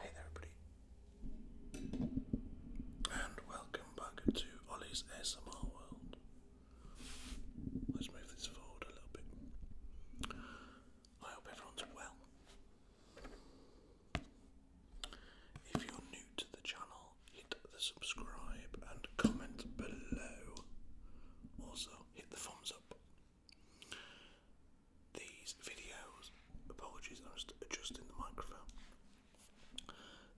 Hey there, everybody, and welcome back to Ollie's ASMR World. Let's move this forward a little bit. I hope everyone's well. If you're new to the channel, hit the subscribe and comment below. Also, hit the thumbs up these videos, apologies, I'm just adjusting the microphone.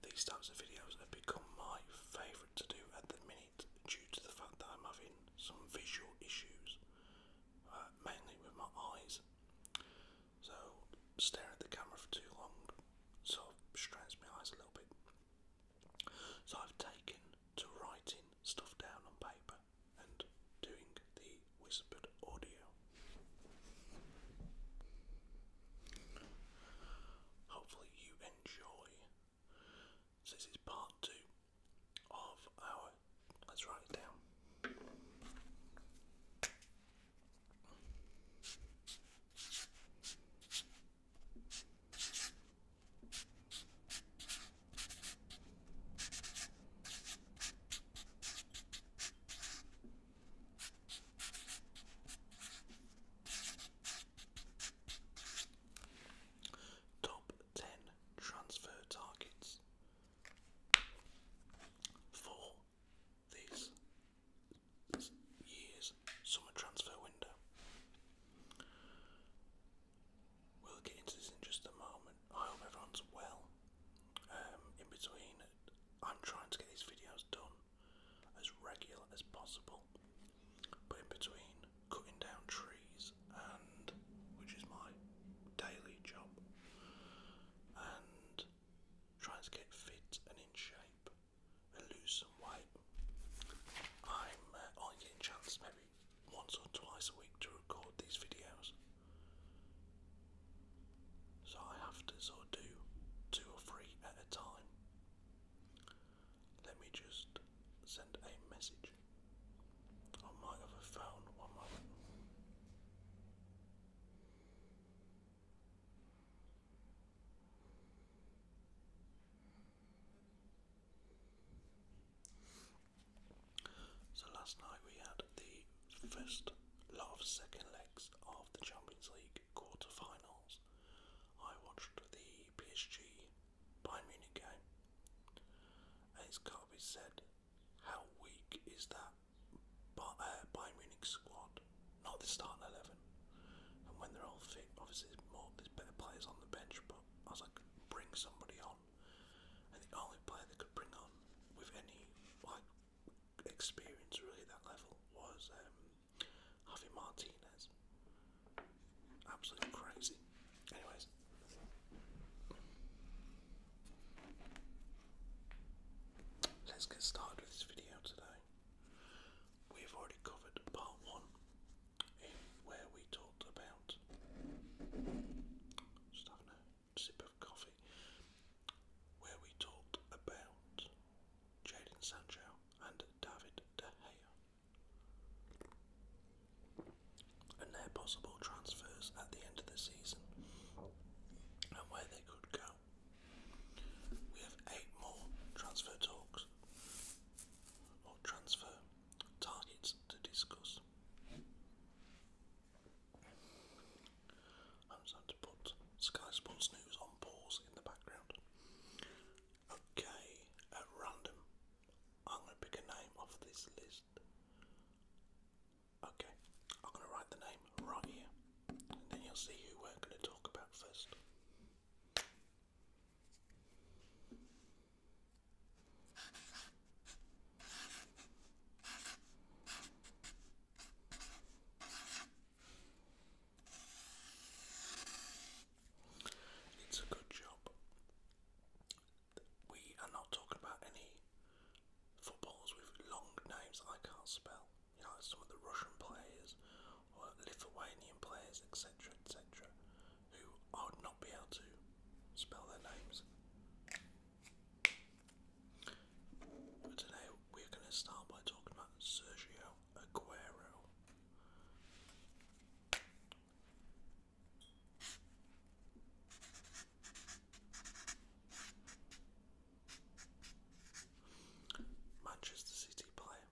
These types of videos have become my favourite to do at the minute due to the fact that I'm having some visual issues, uh, mainly with my eyes. So, staring at the camera for too long sort of strains my eyes a little bit. So, I've taken to writing stuff down on paper and doing the whispered audio. Hopefully, you enjoy. This is part two of our. Let's write it down. Top 10 transfer targets for this year's summer transfer window. We'll get into this in just a moment. I hope everyone's well. Um, in between, I'm trying to get these videos done as regular as possible, but in between cutting down trees and which is my daily job, and trying to get fit and in shape and lose some weight, I'm uh, only getting chance maybe once or twice a week to record these videos. So I have to sort do two or three at a time. Let me just send a message on my other phone one moment. So last night we had the first lot second legs of the Champions League quarter I watched the PSG Bayern Munich game, and it's got to be said how weak is that uh, Bayern Munich squad? Not the starting eleven, and when they're all fit, obviously there's there's better players on the bench. But I was like, bring somebody on and the only player they could bring on with any like experience really at that level was um, Martinez. Absolutely crazy. Anyways. Let's get started with this video today. We've already covered part one where we talked about just having sip of coffee, where we talked about Jadon Sancho and David De Gea and their possible transfers at the end of the season and where they could go. We have eight more transfer talks or transfer targets to discuss. I'm just going to put Sky Sports News on pause in the background. Okay, at random, I'm going to pick a name off this list. Okay, I'm going to write the name right here, then you'll see who we're going to talk about first. It's a good job. We are not talking about any footballers with long names I can't spell. You know, some of the Russian players or Lithuanian players, etc., etc who I would not be able to spell their names. But today we're going to start by talking about Sergio Aguero. Manchester City player.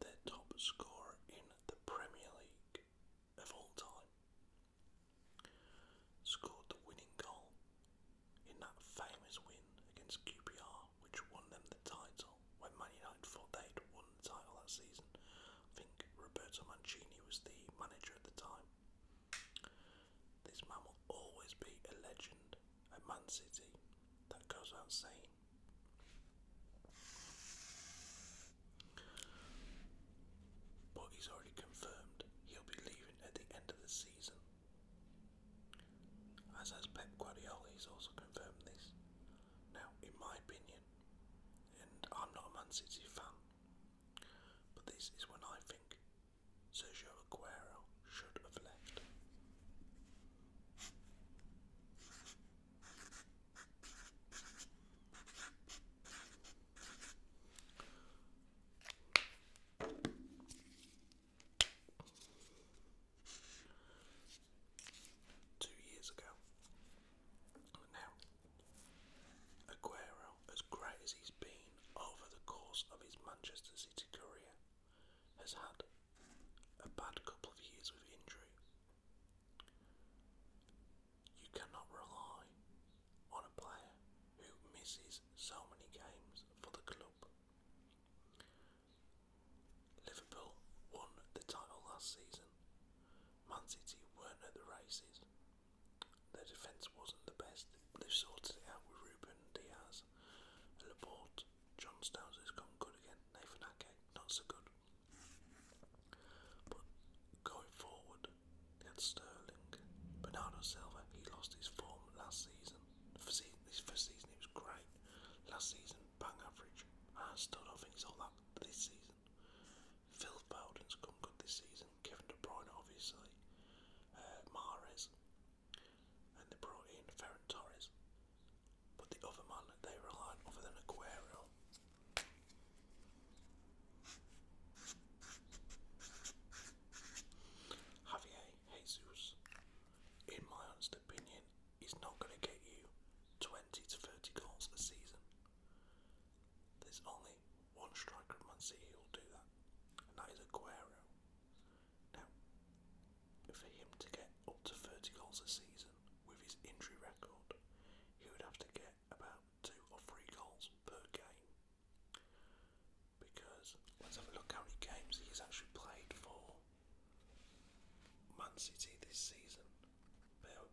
Their top scorer in the Premier League of all time scored the winning goal in that famous win against QPR, which won them the title when Man thought they'd won the title that season. I think Roberto Mancini was the manager at the time. This man will always be a legend at Man City. That goes without saying. But he's already confirmed he'll be leaving at the end of the season. As has Pep Guardiola, he's also confirmed this. Now, in my opinion, and I'm not a Man City fan, but this is what I think so, Joaquero should have left. Two years ago. Now, Aguero, as great as he's been, over the course of his Manchester City career, has had a bad couple of years with injury. You cannot rely on a player who misses so many games for the club. Liverpool won the title last season. Man City weren't at the races. Their defence wasn't the best. They've sorted it out with Ruben Diaz Styles. John Styles has come good again. Nathan Ake, not so good. But going forward, they had Sterling, Bernardo Silva. He lost his form last season. this first season, he was great. Last season, bang average. I still don't think he's all that this season. Phil Bowden's come good this season. Kevin De Bruyne, obviously. Uh, and they brought in Ferran Torres. But the other man they relied on, other than Aguero, Javier Jesus, in my honest opinion, is not going to get you 20 to 30 goals a season. There's only one striker at Man City who'll do that, and that is Aguero. Now, for him to get up to 30 goals a season with his injury record, he would have to get about two or three goals per game. Because let's have a look how many games he's actually played for Man City this season.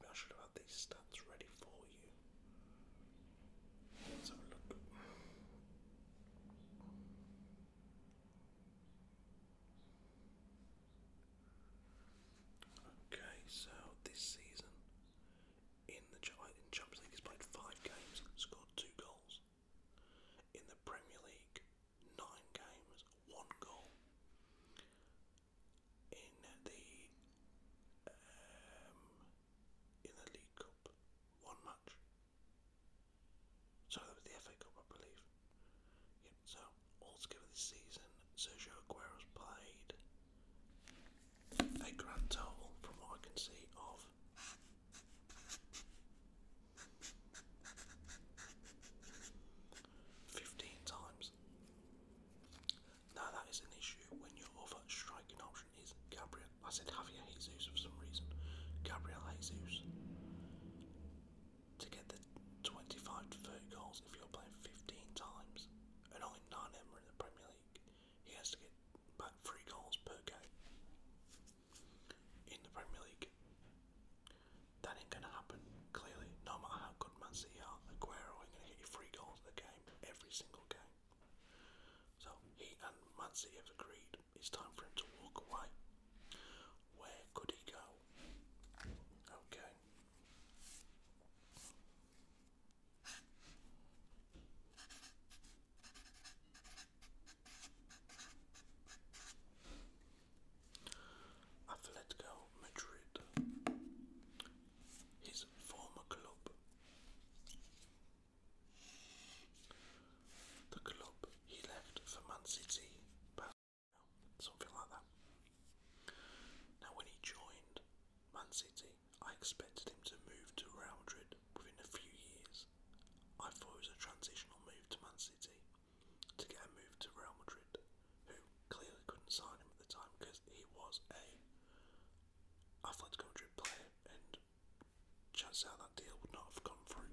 I should have had these stats ready for you. Let's have a look. Okay, so this season in the in Champions League, he's played five games, scored two goals. In the Premier League, nine games, one goal. In the um, in the League Cup, one match. So that was the FA Cup, I believe. so altogether this season, Sergio Aguero's played a grand total, from what I can see, of fifteen times. Now that is an issue when your other striking option He's Gabriel. I said Javier He's used for some reason. Gabriel Jesus. To get the 25 to 30 goals if you're playing 15 times and only 9 ever in the Premier League, he has to get back 3 goals per game in the Premier League. That ain't gonna happen, clearly, no matter how good Man City are, Aguero ain't gonna get you 3 goals in the game every single game. So he and Madsey have agreed it's time for him to walk away. Where could he go? Okay. Atletico Madrid, his former club. The club he left for Man City, something like that. Now, when he joined Man City, I expected him to move to Real Madrid within a few years. I thought it was a transitional move to Man City to get a move to Real Madrid, who clearly couldn't sign him at the time because he was a Atletico Madrid player and chances are that deal would not have come through.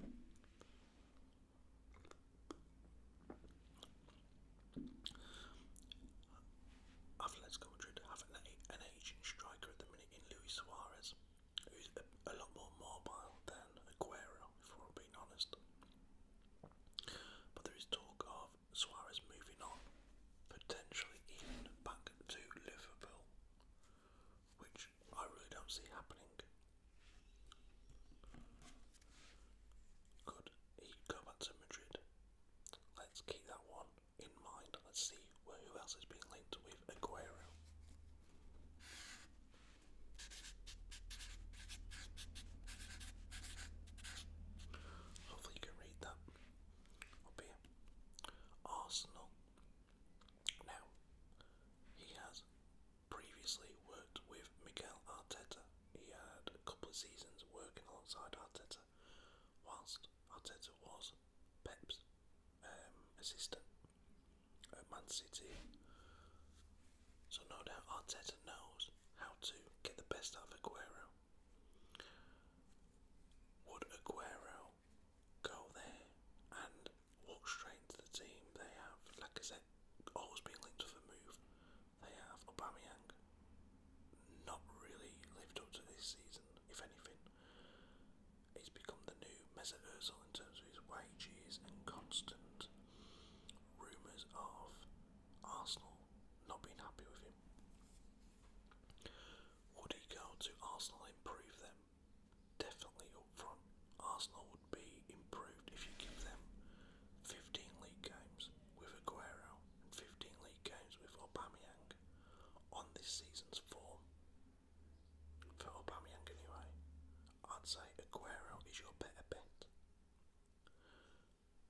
Atletico Madrid have an, an aging striker at the minute in Luis Suarez, who's a lot more mobile than Aguero, if we're being honest. But there is talk of Suarez moving on, potentially even back to Liverpool which I really don't see happening. Could he go back to Madrid? Let's keep that one in mind. Let's see who else is being linked with Aguero. Hopefully you can read that up Arsenal now, he has previously worked with Miguel Arteta. He had a couple of seasons working alongside Arteta, whilst Arteta was Pep's um, assistant at Man City. So no doubt Arteta knows how to get the best out of Aguero. Would Aguero go there and walk straight into the team. They have, like I said, always been linked with a move. They have Aubameyang not really lived up to this season, if anything. He's become the new Mesut Ozil in terms of his wages and constant rumours of Arsenal not being happy with him. Would he go to Arsenal and improve them? definitely up Arsenal would be improved if you give them 15 league games with Aguero and 15 league games with Aubameyang on this season's form. For Aubameyang anyway, I'd say Aguero is your better bet.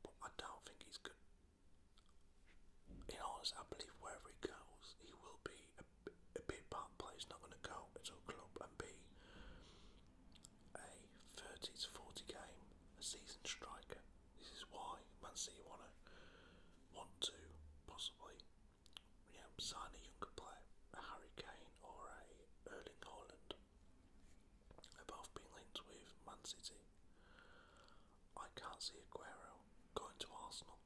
But I don't think he's good. In honest, I believe wherever he goes, he will be a, big part player's not going to go at all club and be a 30 to 40 game a season striker. This is why Man City want to want to possibly you sign a younger player, a Harry Kane or a Erling Haaland. Above being linked with Man City. I can't see Aguero going to Arsenal.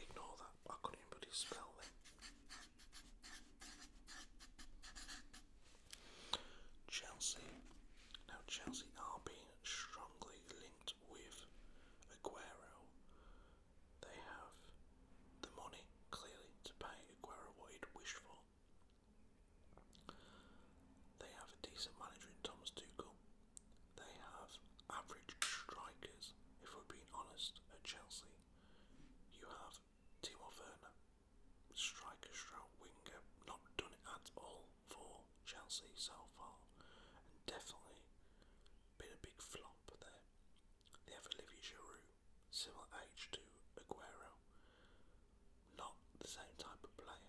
Ignore that, I couldn't even spell them. Chelsea. Now, Chelsea are being strongly linked with Aguero. They have the money, clearly, to pay Aguero what he'd wished for. They have a decent manager in Thomas Tuchel. They have average strikers, if we're being honest, at Chelsea. You have Timo Werner, striker, stroke, winger, not done it at all for Chelsea so far, and definitely been a big flop there. They have Olivier Giroud, similar age to Aguero not the same type of player.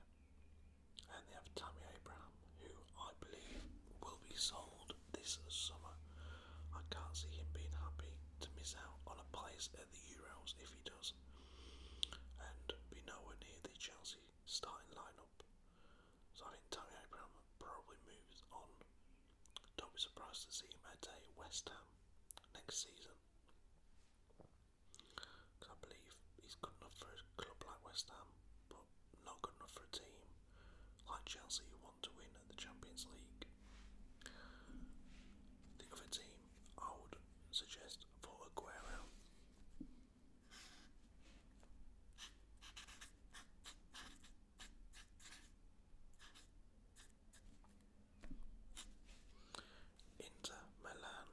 And they have Tammy Abraham, who I believe will be sold this summer. I can't see him being happy to miss out on a place at the Euros if he does, and be nowhere near the Chelsea starting lineup. So I think Tammy Abraham probably moves on. Don't be surprised to see him at a West Ham next season. I believe he's good enough for a club like West Ham, but not good enough for a team like Chelsea who want to win at the Champions League. The other team I would suggest for Aguero. Inter Milan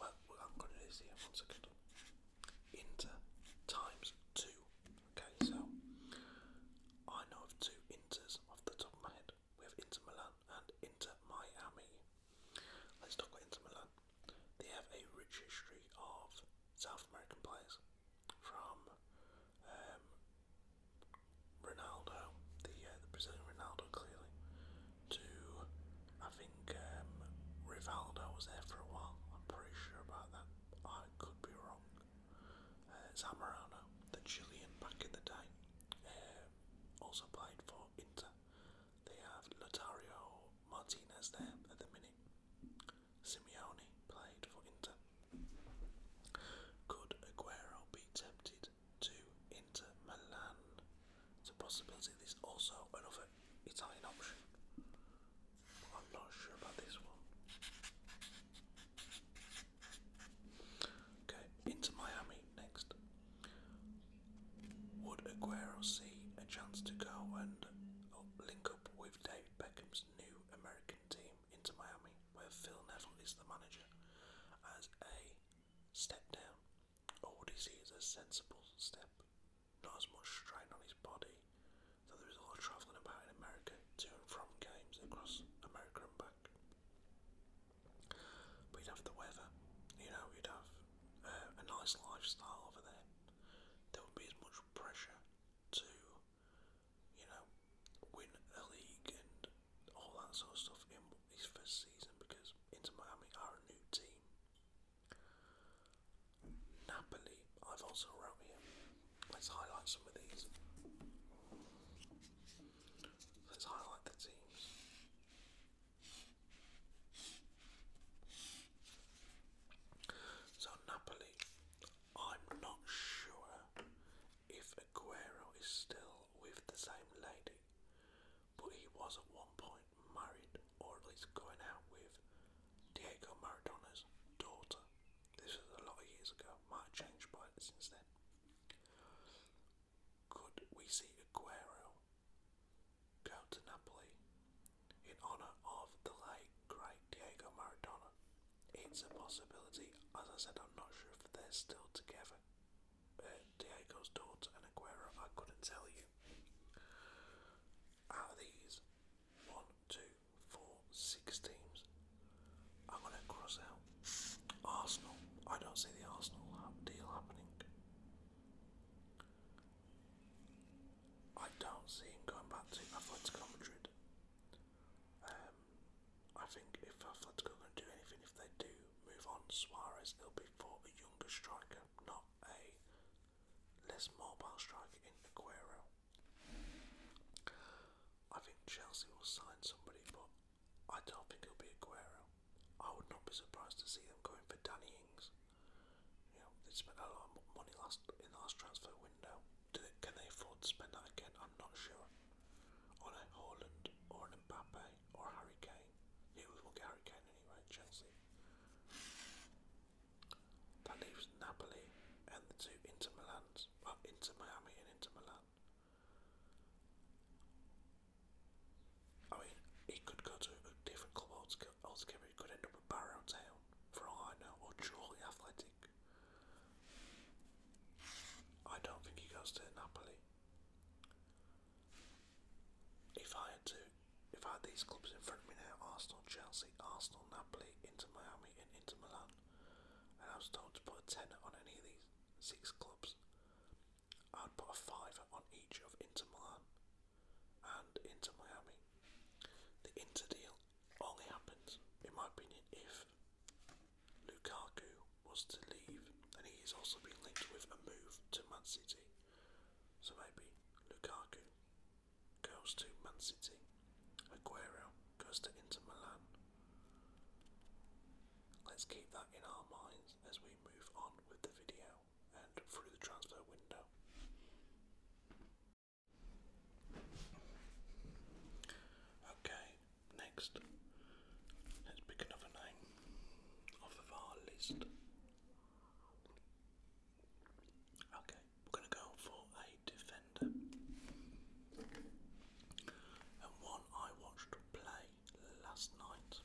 well, I'm going to do this here Inter times 2. Okay, so I know of two inters off the top of my head. We have Inter Milan and Inter Miami. Let's talk about Inter Milan. They have a rich history of South American players from um, Ronaldo, the uh, the Brazilian Ronaldo, clearly, to I think um, Rivaldo was there for a while. I'm pretty sure about that. I could be wrong. Uh, Zamorano, the Chilean back in the day, uh, also played for Inter. They have Lotario Martinez there at the minute. Simeone played for Inter. Could Aguero be tempted to Inter Milan. It's a possibility. There's also another Italian option. But I'm not sure about this one. Okay, into Miami next. Would Aguero see a chance to go and uh, link up with David Beckham's new American team into Miami, where Phil Neville is the manager, as a Step down. Odyssey is a sensible step. Not as much strain on his body, though there is a lot of travelling about in America to and from games across America and back. we would have the weather, you know, we would have uh, a nice lifestyle over there. There would be as much pressure to, you know, win a league and all that sort of stuff in his first season because Inter Miami are a new team. Napoli, I've also wrote here. Let's highlight some of these. Let's highlight the teams. So Napoli, I'm not sure if Aguero is still with the same lady but he was at one point married, or at least going out with, Diego Maradona's daughter. This was a lot of years ago, might have changed by since then. Could we see Aguero go to Napoli in honour of the late great Diego Maradona? It's a possibility. As I said, I'm not sure if they're still together. Diego's daughter and Aguero, I couldn't tell you. Out these, one, two, four, six teams, I'm going to cross out Arsenal. I don't see the Arsenal deal happening. I don't see him going back to Atletico Madrid. Um, I think if Atletico are going to do anything, if they do move on Suarez, it'll be for a younger striker, not a less mobile striker in Aguero. I think Chelsea will sign somebody, but I don't think it'll be Aguero. I would not be surprised to see them going for Danny Ings. You know, they spent a lot of money last in last transfer window. can they afford to spend that again? I'm not sure. On a Holland or Mbappe or Harry Kane. He was will get Harry Kane anyway, Chelsea. That leaves Napoli and the two Inter Milans. Well, Inter Miami and Inter Milan. I mean, he could go to a different club altogether. He could end up at Barrow Town, for all I know, or Jolly Athletic. I don't think he goes to Napoli. If I had to, if I had these clubs in front of me now, Arsenal, Chelsea, Arsenal, Napoli, Inter Miami, and Inter Milan, and I was told to put a ten on any of these six clubs, I'd put a five on each of Inter Milan and Inter Miami. The Inter deal only happens, in my opinion, if Lukaku was to leave, and he is also being linked with a move to Man City. So maybe Lukaku goes to Man City, Aguero goes to Inter Milan. Let's keep that in our minds as we move on with the video and through the transfer window. Okay, Next, let's pick another name off of our list. Okay, we're going to go for a defender. And one I watched play last night.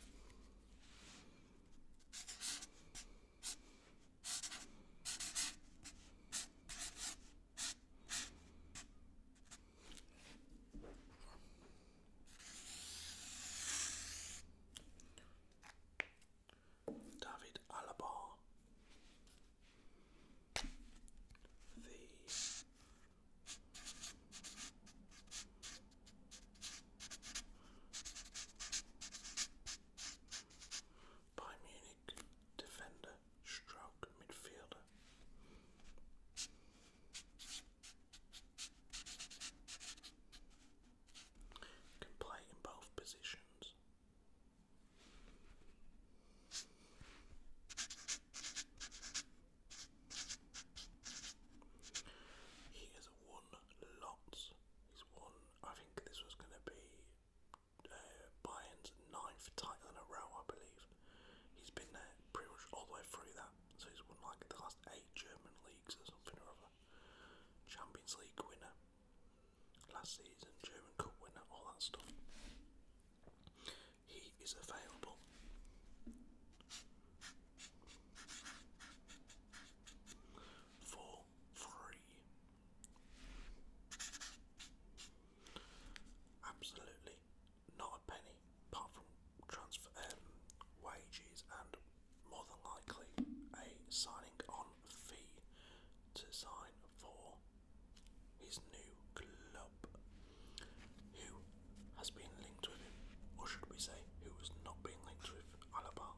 David Alaba, the Bayern Munich defender, stroke midfielder. Can play in both positions. He has won lots. He's won. I think this was going to be uh, Bayern's ninth title in a row, I believe. He's been there pretty much all the way through that. So he's won like the last eight German leagues or something or other. Champions League winner last season, German Cup winner, all that stuff. He is available. For free, absolutely not a penny, apart from transfer um, wages and more than likely a signing on fee to sign for his new club. Who has been linked with him, or should we say, who has not been linked with Alaba?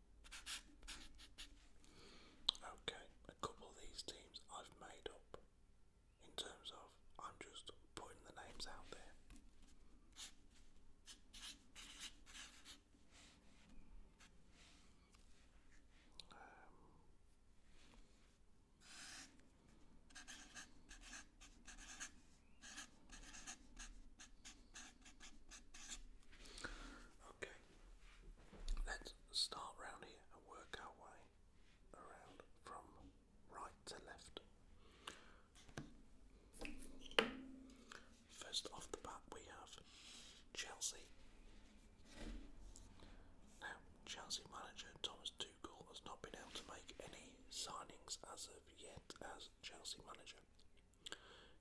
Okay, a couple of these teams I've made up in terms of I'm just putting the names out there. Um, okay, let's start round here and work our way around from right to left. First off the bat, we have Chelsea. Now, Chelsea manager Thomas Tuchel has not been able to make any signings as of yet as Chelsea manager.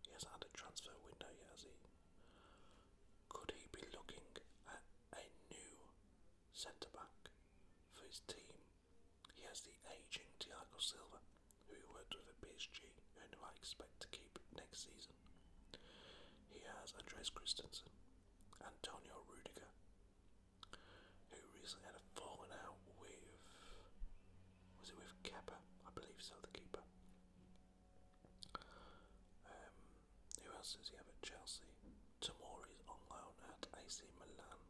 He hasn't had a transfer window yet, has he? Could he be looking at a new centre back for his team? He has the ageing Thiago Silva, who he worked with at PSG and who I expect to keep next season. He has Andres Christensen, Antonio Rudiger, who recently had a falling out with was it with Kepa? I believe so, the keeper. Um, who else does he have at Chelsea? is on loan at AC Milan.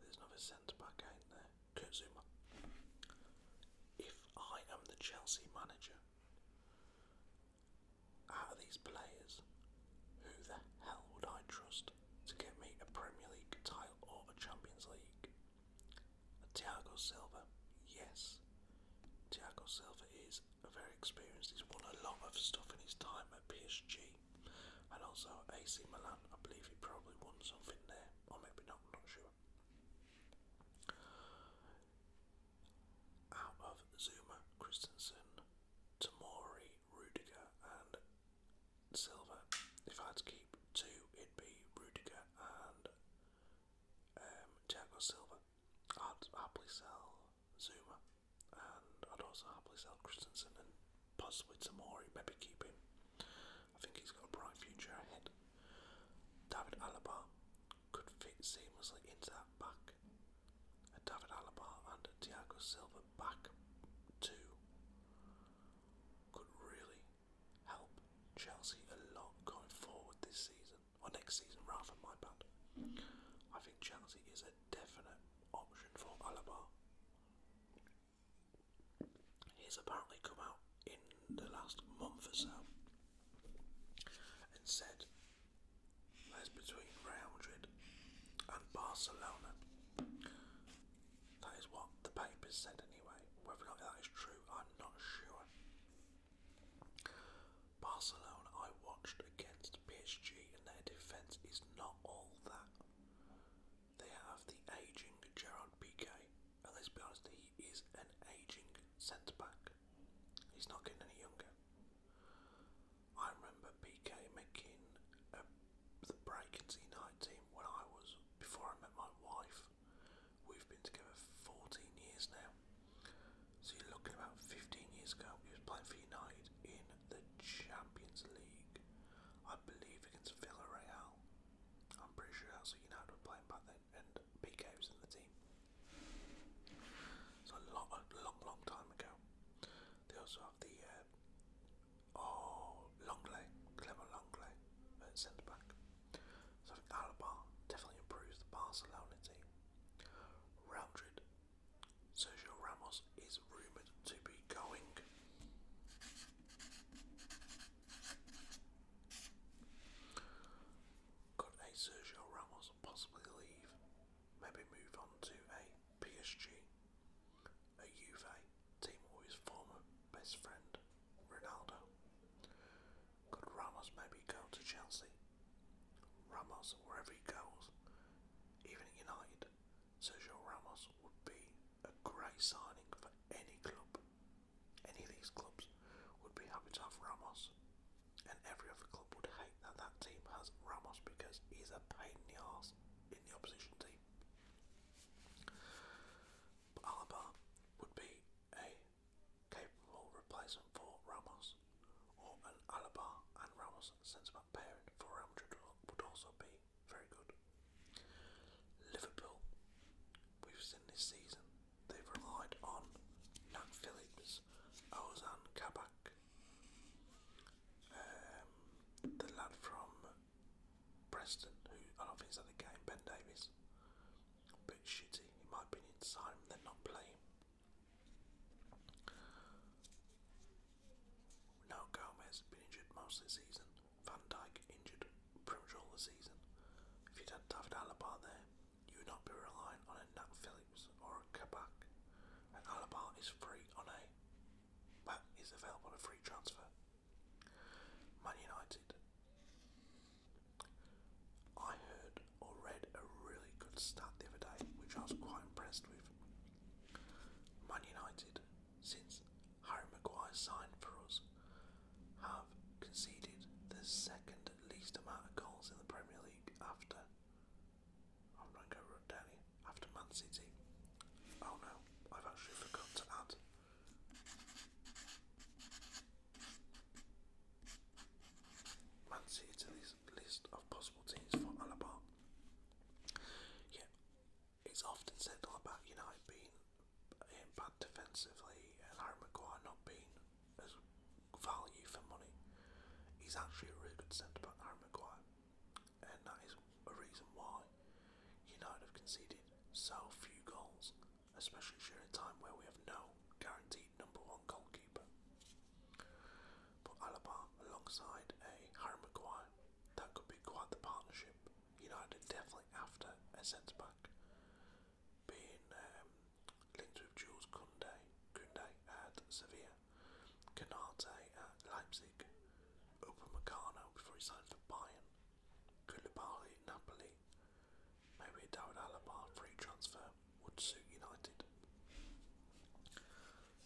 There's another centre back, ain't there? Kurt If I am the Chelsea manager, out of these players, who the hell would I trust to get me a Premier League title or a Champions League Thiago Silva, yes. Thiago Silva is very experienced. He's won a lot of stuff in his time at PSG and also AC Milan. I believe he probably won something there, or maybe not. not sure. Out of Zuma, Christensen, Tamori, Rudiger, and Silva. If I had to keep two, it'd be Rudiger and um, Silva. I'd happily sell Zuma, and I'd also happily sell Christensen and possibly Tamori. Maybe keep him. I think he's got a bright future ahead. David Alaba could fit seamlessly into that back. A David Alaba and Diago Silva back two could really help Chelsea a lot going forward this season or next season rather, my bad. I think Chelsea is a definite option for Alaba. He's apparently come out in the last month or so and said "That's between Real Madrid and Barcelona. That is what the papers said anyway. Whether or not that is true, I'm not sure. Barcelona, I watched against PSG, and their defence is not all that. They have the ageing Gerard Piqué, and let's be honest, he is an ageing centre back. He's not getting any younger. I remember Piqué making a, the break in the United team when I was before I met my wife. We've been together 14 years now. So you're looking about 15 years ago. He was playing for United in the Champions League, I believe, against Villarreal. I'm pretty sure that's what United were playing back then, and PK was in the team. So a long, a long, long time ago. They also have the uh, oh Longley, Clement Longley, at centre back. So Alaba definitely improves the Barcelona team. Realdred, Sergio Ramos is rumoured to be going. Could a Sergio Ramos possibly leave? Maybe move on to a PSG, a Juve team, or his former best friend Ronaldo. Could Ramos maybe go to Chelsea? Ramos, wherever he goes, even at United, Sergio Ramos would be a great signing for any club. Any of these clubs would be happy to have Ramos, and every other club would hate that that team has Ramos because he's a pain in the ass in the opposition team. But Alaba would be a capable replacement for Ramos, or an Alaba and Ramos centre back pairing for Real Madrid would also be very good. Liverpool, we've seen this season, they've relied on Nat Phillips, Ozan Kabak, um, the lad from Preston, who I don't think is at the game, Ben Davies bit shitty in my opinion to sign him, they're not playing. Now Gomez been injured most of season. Van Dijk injured pretty much all the season. If you'd had David Alaba there, you would not be relying on a Nat Phillips or a Kabak. And Alaba is free on a well, is available on a free transfer. Man United I heard or read a really good stat the other day, which I was quite impressed with. Man United, since Harry Maguire signed for us, have conceded the second least amount of goals in the Premier League after. I'm After Man City. Oh no, I've actually forgot to add. Let's see it in this list of possible teams for Alaba. Yeah, it's often said all about United being bad defensively and Harry Maguire not being as value for money. He's actually a really good centre back, Harry Maguire, and that is a reason why United have conceded so few goals especially during a time where we have no guaranteed number one goalkeeper. But Alaba alongside a Harry Maguire, that could be quite the partnership. United definitely after a centre back, being um, linked with Jules Kunde, Kunde at Sevilla, Canate at Leipzig, Upamecano before he signed for Bayern, Koulibaly at Napoli, Maybe a David Alaba free transfer would suit United.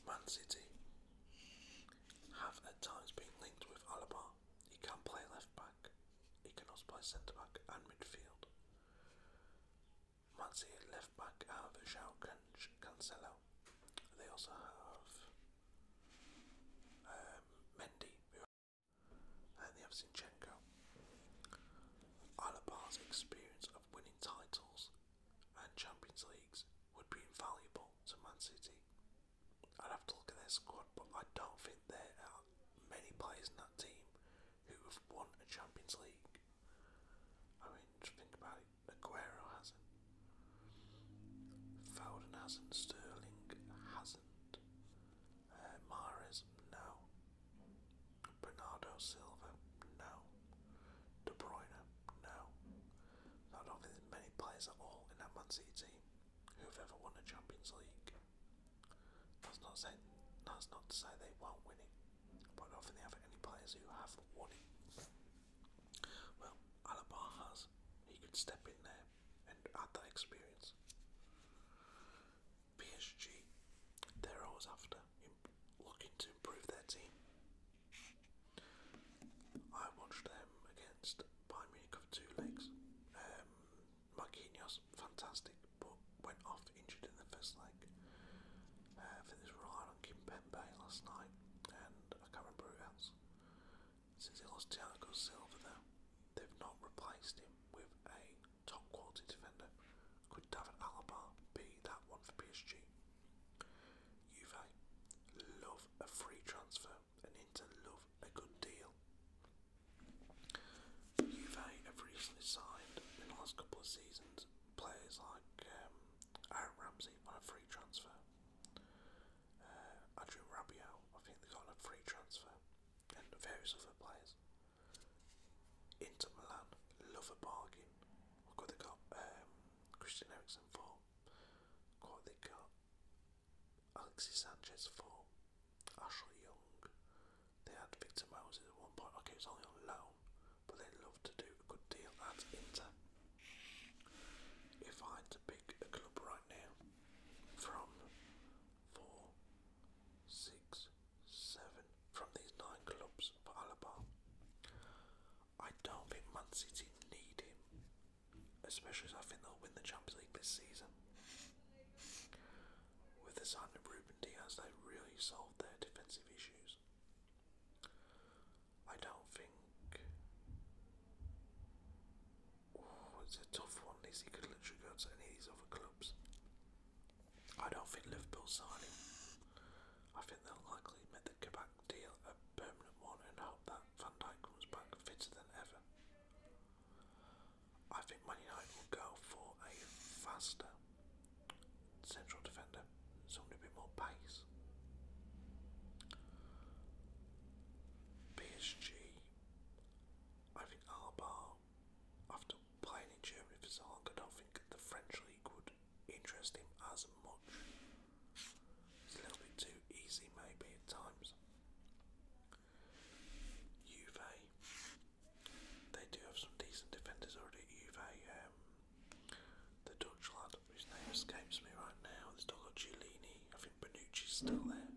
Man City have at times been linked with Alaba. He can play left back, he can also play centre back and midfield. Man City left back have João Cancelo. They also have um, Mendy, and they have Zinchenko. Alabar's experience of winning titles and Champions Leagues would be invaluable to Man City. I'd have to look at their squad, but I don't think there are many players in that team who have won a Champions League. I mean, just think about it. Aguero hasn't. Foden hasn't. Sterling hasn't. Uh, no. Bernardo Silva, no. De Bruyne, no. I don't think there's many players at all in that Man City team who've ever won a Champions League. That's not say, that's not to say they won't win it, but I don't think they have any players who have won it. Well, Alabar has. He could step in there and add that experience. PSG, they're always after looking to improve their team. I watched them against Bayern Munich of two legs. Um, Marquinhos, fantastic, but went off injured in the first leg. Uh, this relied on Kim Pembe last night, and I can't remember who else. Since they lost Thiago Silva, though, they've not replaced him with a top quality defender. Could David Alaba be that one for PSG? Juve love a free transfer and Inter love a good deal. Juve have recently signed in the last couple of seasons players like um, Aaron Ramsey on a free transfer. Uh, Andrew Rabiot, I think they got on a free transfer and various other players. Inter Milan love a bargain. Look what they got. Um, Christian Eriksen for. Look they got. Alexis Sanchez for. Ashley Young. They had Victor Moses at one point. Okay, it was only on loan, but they love to do a good deal at Inter. If I had to pick a club right now, from four, six, seven from these nine clubs for Alaba. I don't think Man City need him, especially as I think they'll win the Champions League this season. With the signing of Ruben Diaz, they really solved their defensive issues. I don't think. Ooh, it's a tough one. Is could literally go to any of these other clubs. I don't think Liverpool sign him. I think they'll likely make the Kebab deal a permanent one and hope that Van Dijk comes back fitter than ever. I think Man United will go for a faster central defender, somebody a bit more pace. PSG, I think Alba after playing in Germany for so long, I think the French league would interest him as much. It's a little bit too easy, maybe at times. Juve, they do have some decent defenders already at um, the Dutch lad, whose name escapes me right now, they've still I think Benucci's still there.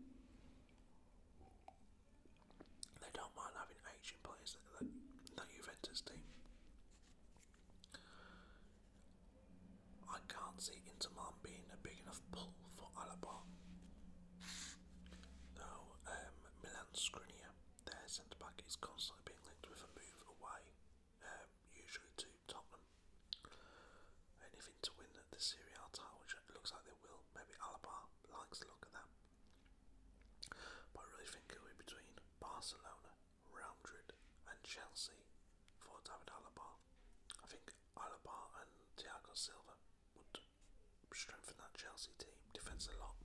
They don't mind having Asian players that, that, Juventus team. I can't see Inter Milan being a big enough pull for Alaba. No, um, Milan their centre back, is constantly being linked with a move away, um, usually to Tottenham. Anything to Inter win the Serie A title, which looks like they will, maybe Alaba likes the look at that. But I really think it'll be between Barcelona, Real Madrid, and Chelsea for David Alaba. I think Alaba and Thiago Silva would strengthen that Chelsea team defence a lot.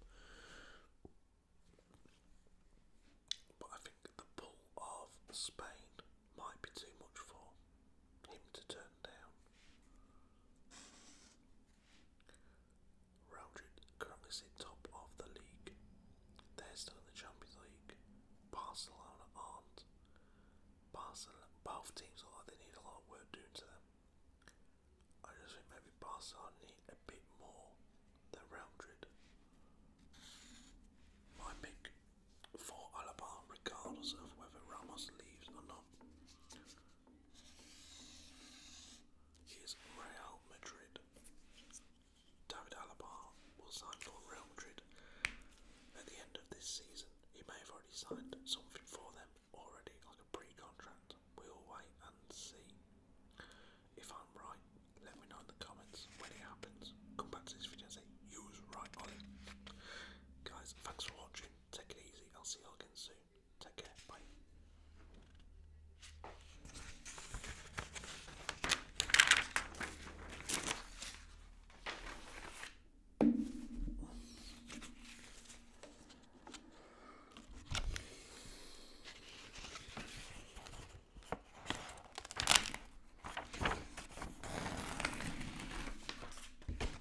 But I think the pull of Spain might be too much for him to turn down. Realdred currently sit top of the league. They're still in the Champions League. Barcelona aren't. Barcelona, both teams look like they need a lot of work doing to them. I just think maybe Barcelona need a bit more than Realdred. My pick for Alaba, regardless of whether Ramos leaves or not. He is Real Madrid. David Alaba will sign for Real Madrid at the end of this season. He may have already signed something for them already, like a pre-contract. We'll wait and see. If I'm right, let me know in the comments when it happens. Come back to this video and say you was right on Guys, thanks for watching. Take it easy. I'll see you all again soon. Take care. Bye.